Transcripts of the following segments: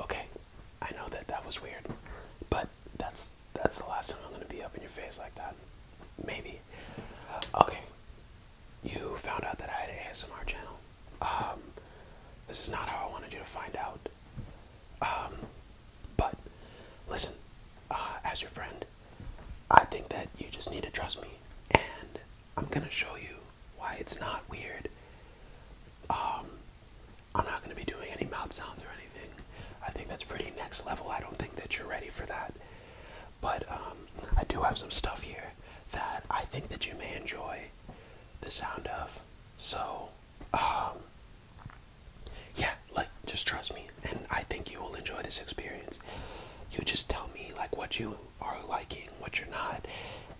Okay, I know that that was weird, but that's that's the last time I'm gonna be up in your face like that. Maybe. Okay, you found out that I had an ASMR channel. Um, this is not how I wanted you to find out. Um, but listen, uh, as your friend, I think that you just need to trust me, and I'm gonna show you why it's not weird. Um, I'm not gonna be doing any mouth sounds or anything. I think that's pretty next level. I don't think that you're ready for that. But um, I do have some stuff here that I think that you may enjoy the sound of. So, yeah, like just trust me, and I think you will enjoy this experience. You just tell me like what you are liking, what you're not,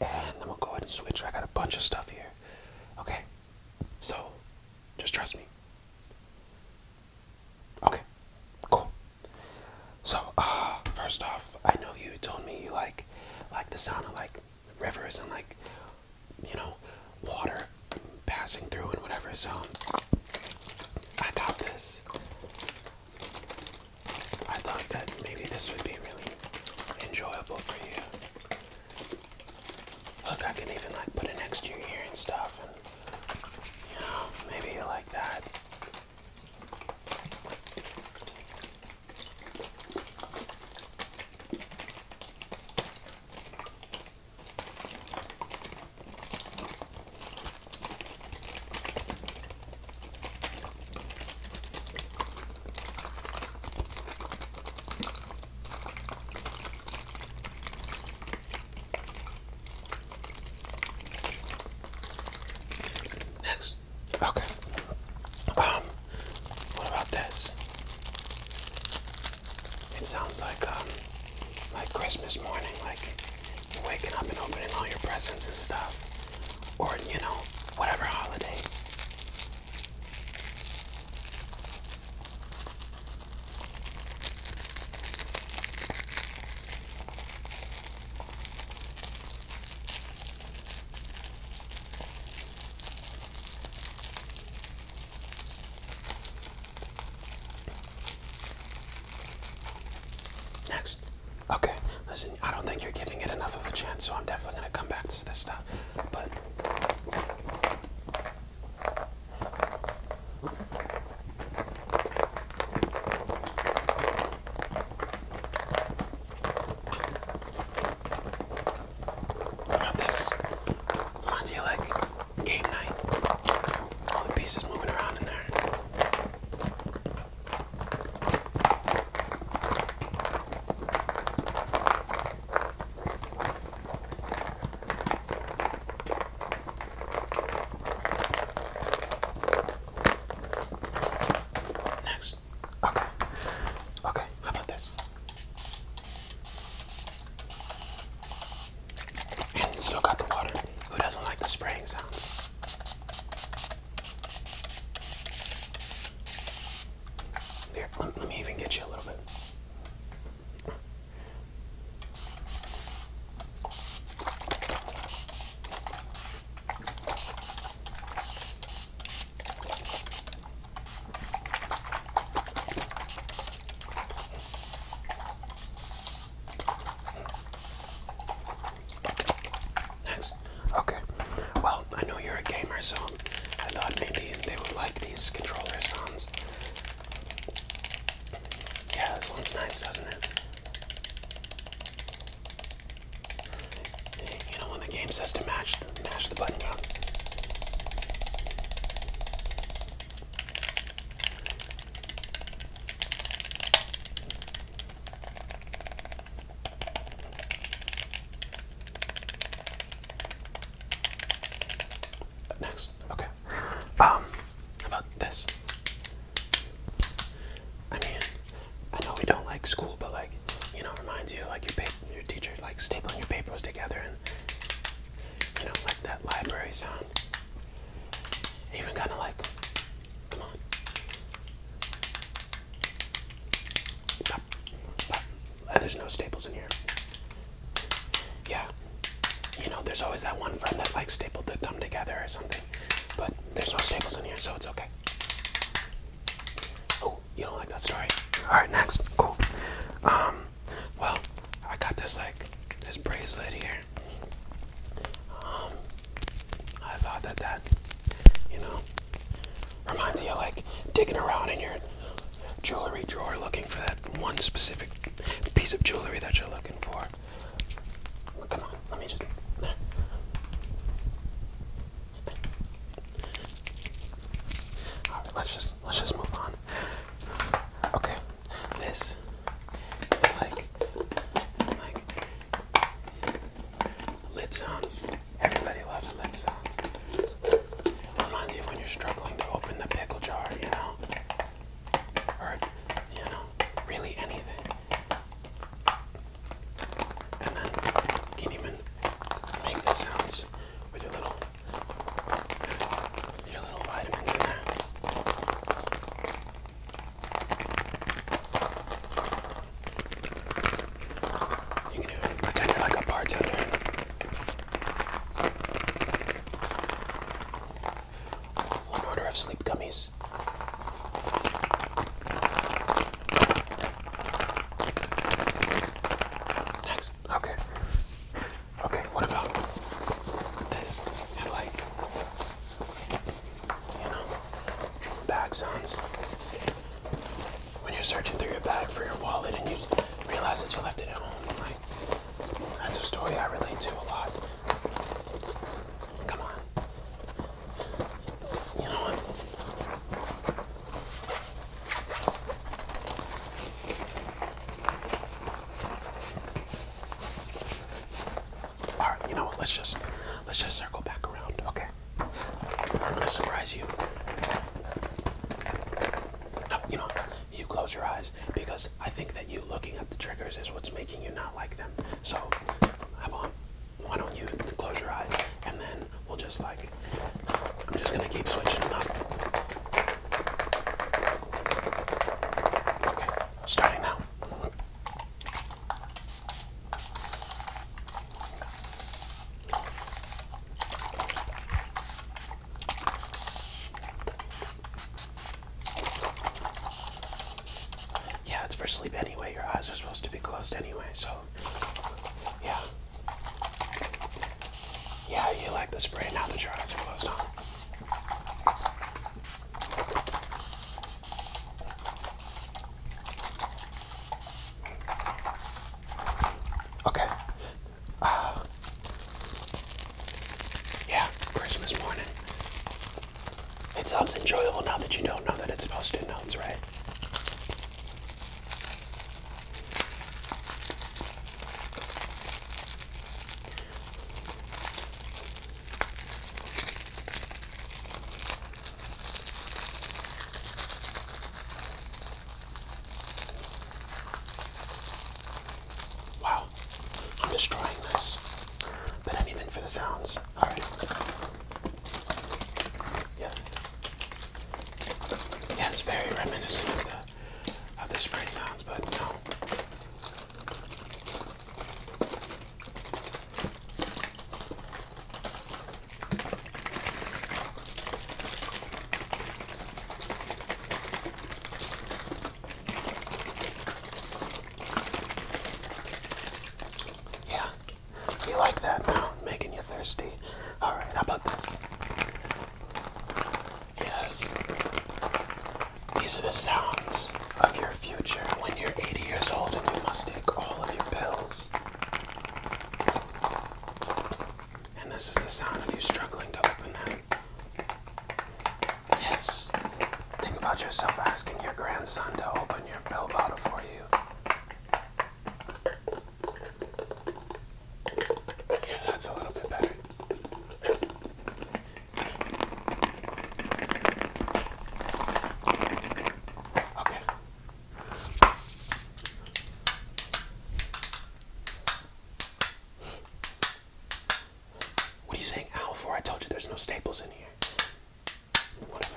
and then we'll go ahead and switch. I got a bunch of stuff here. Okay, so just trust me. Okay, cool. So, uh, first off, I know you told me you like like the sound of like rivers and like you know water passing through and whatever. So I got this. I thought that maybe this would be really enjoyable for you. Look, I can even like put it next to your ear and stuff, and you know, maybe you like that. Next, okay. Um, what about this? It sounds like um, like Christmas morning, like you're waking up and opening all your presents and stuff, or you know, whatever holiday. Next. Okay, listen, I don't think you're giving it enough of a chance, so I'm definitely gonna come back to this stuff. But how about this? Monty like game night. All the pieces moving around in there. Next, Okay. Okay, how about this? And still got the water. Who doesn't like the spraying sounds? Here, let me even get you a little bit. Nice. Okay. Well, I know you're a gamer, so I thought maybe they would like these controller sounds. Yeah, this one's nice, doesn't it? you know, when the game says to match, mash the button down. Next, okay. Um, about this? I mean, I know we don't like school, but like, you know, reminds you like you pay your teacher like stapling your papers together and you know like that library sound. Even kind of like, come on. Pop, uh, There's no staples in here. Yeah, you know, there's always that one friend that like stapled their thumb together or something, but there's no staples in here, so it's okay. You don't like that story? Alright, next. Cool. Um, well, I got this like this bracelet here. Um, I thought that that, you know, reminds you of like digging around in your jewelry drawer looking for that one specific piece of jewelry that you're looking for. Come on, let me just right, let's just let's just move on. Okay, this like like lid sounds. Everybody loves lid sounds. Reminds you when you're struggling to open the pickle jar, you know, or you know, really anything. And then you can even sounds with your little your little vitamins in there. You can pretend you're like a bartender. One order of sleep gummies. Next. Okay. Okay, what about this? And like, you know, bag sounds. When you're searching through your bag for your wallet and you realize that you left it at home, like, that's a story I relate to a lot. Come on. You know all right, you know what? Let's just let's just circle back around, okay? I'm gonna surprise you. No, you know, you close your eyes because I think that you looking at the triggers is what's making you not like them. So, how about why don't you close your eyes and then we'll just like, I'm just gonna keep switching them up. Okay, starting now. Yeah, it's for sleep anyway. Your eyes are supposed to be closed anyway, so yeah. Yeah, you like the spray now that your eyes are closed, huh? Okay. Uh, yeah, Christmas morning. It sounds enjoyable now that you don't know that it's supposed to notes, right? Wow, I'm destroying this. But anything for the sounds. Alright. Yeah. Yeah, it's very reminiscent of the, of the spray sounds, but no. Yeah, you like that now? Making you thirsty. All right. How about this? Yes. These are the sounds of your future when you're 80 years old and you must take all of your pills. And this is the sound of you struggling to open them. Yes. Think about yourself asking your grandson to open your pill bottle for you. Yeah, that's a little bit better. Okay. What are you saying Al? for? I told you there's no staples in here. Whatever.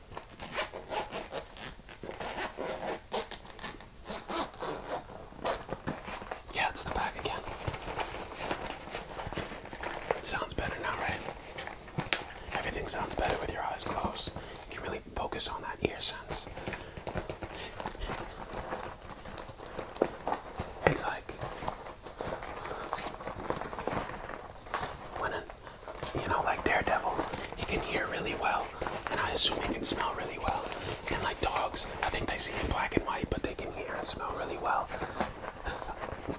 Yeah, it's the back again. sounds better now, right? Everything sounds better with your eyes closed. You really focus on that ear sense. It's like when an you know, like Daredevil, he can hear really well, and I assume he can smell really well. And like dogs, I think they see in black and white, but they can hear and smell really well.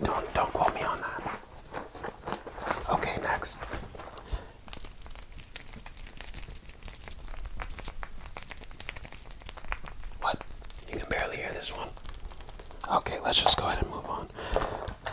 Don't don't quote me on that. Okay, next. What? You can barely hear this one. Okay, let's just go ahead and move on.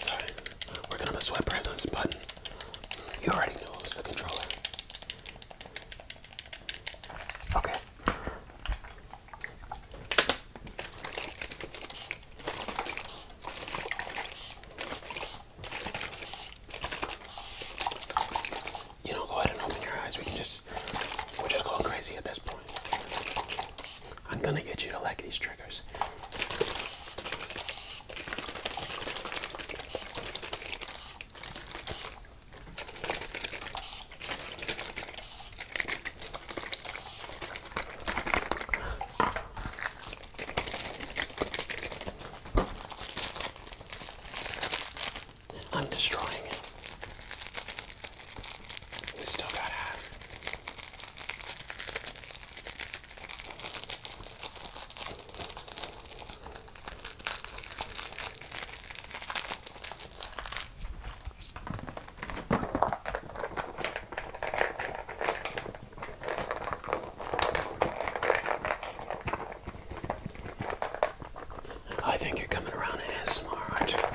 So, we're going sweatpants button. You already knew it was the controller. Okay you know, go ahead and open your eyes. We can just, we're just going crazy at this point. I'm gonna get you to like these triggers. I'm destroying it. We still got half. I think you're coming around in ASMR, are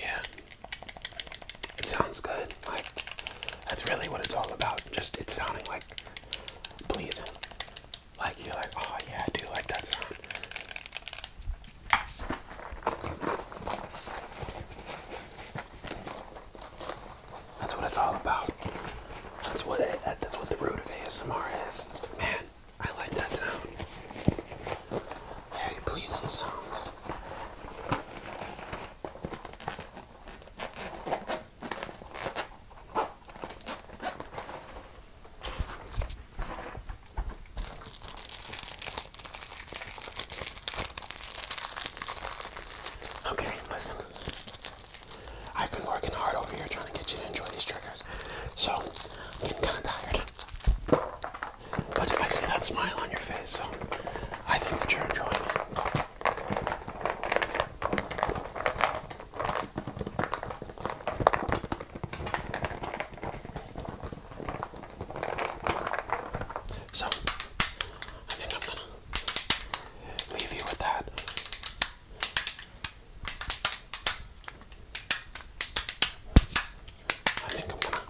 Yeah. It sounds good. Like, that's really what it's all about. Just it sounding like pleasing. Like, you're like, oh yeah, I do like that sound. That's what it's all about. That's what it, that's what the root of ASMR is, man. I like that sound. Very pleasing sounds. Okay, listen. I've been working hard over here trying to get you to enjoy these triggers. So, I'm getting kind of tired. But I see that smile on your face, so I think that you're enjoying it. So, I think I'm gonna leave you with that. I think I'm gonna.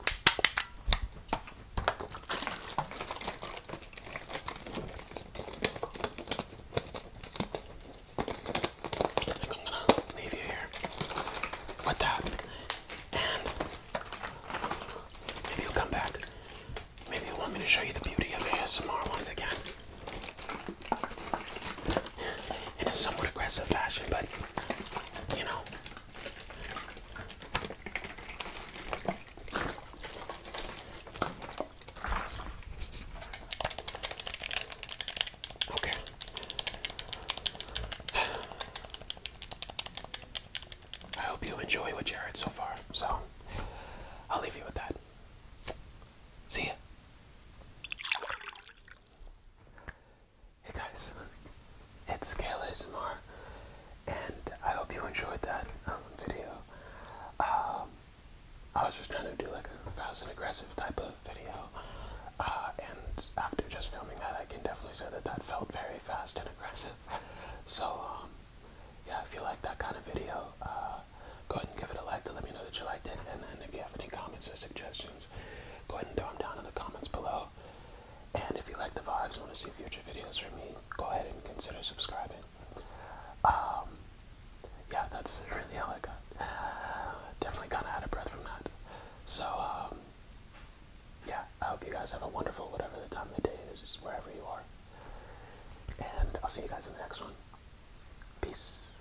leave you here with that, and maybe you'll come back. Maybe you want me to show you the beauty of ASMR once again in a somewhat aggressive fashion, but you know. Okay. I hope you enjoy what you heard so far. So, I'll leave you with that. See ya. Hey guys, it's Scale ASMR, and I hope you enjoyed that um, video. Um, I was just trying to do like a fast and aggressive type of video, uh, and after just filming that, I can definitely say that that felt very fast and aggressive. So, um, yeah, if you like that kind of video, uh, go ahead and give it a like to let me know that you liked it, and then if you have any comments or suggestions, go ahead and throw them down in the comments below. And if you like the vibes and want to see future videos from me, go ahead and consider subscribing. Um, yeah, that's really all I got. Definitely kind of out of breath from that. So, um, yeah, I hope you guys have a wonderful whatever the time of the day is, wherever you are. And I'll see you guys in the next one. Peace.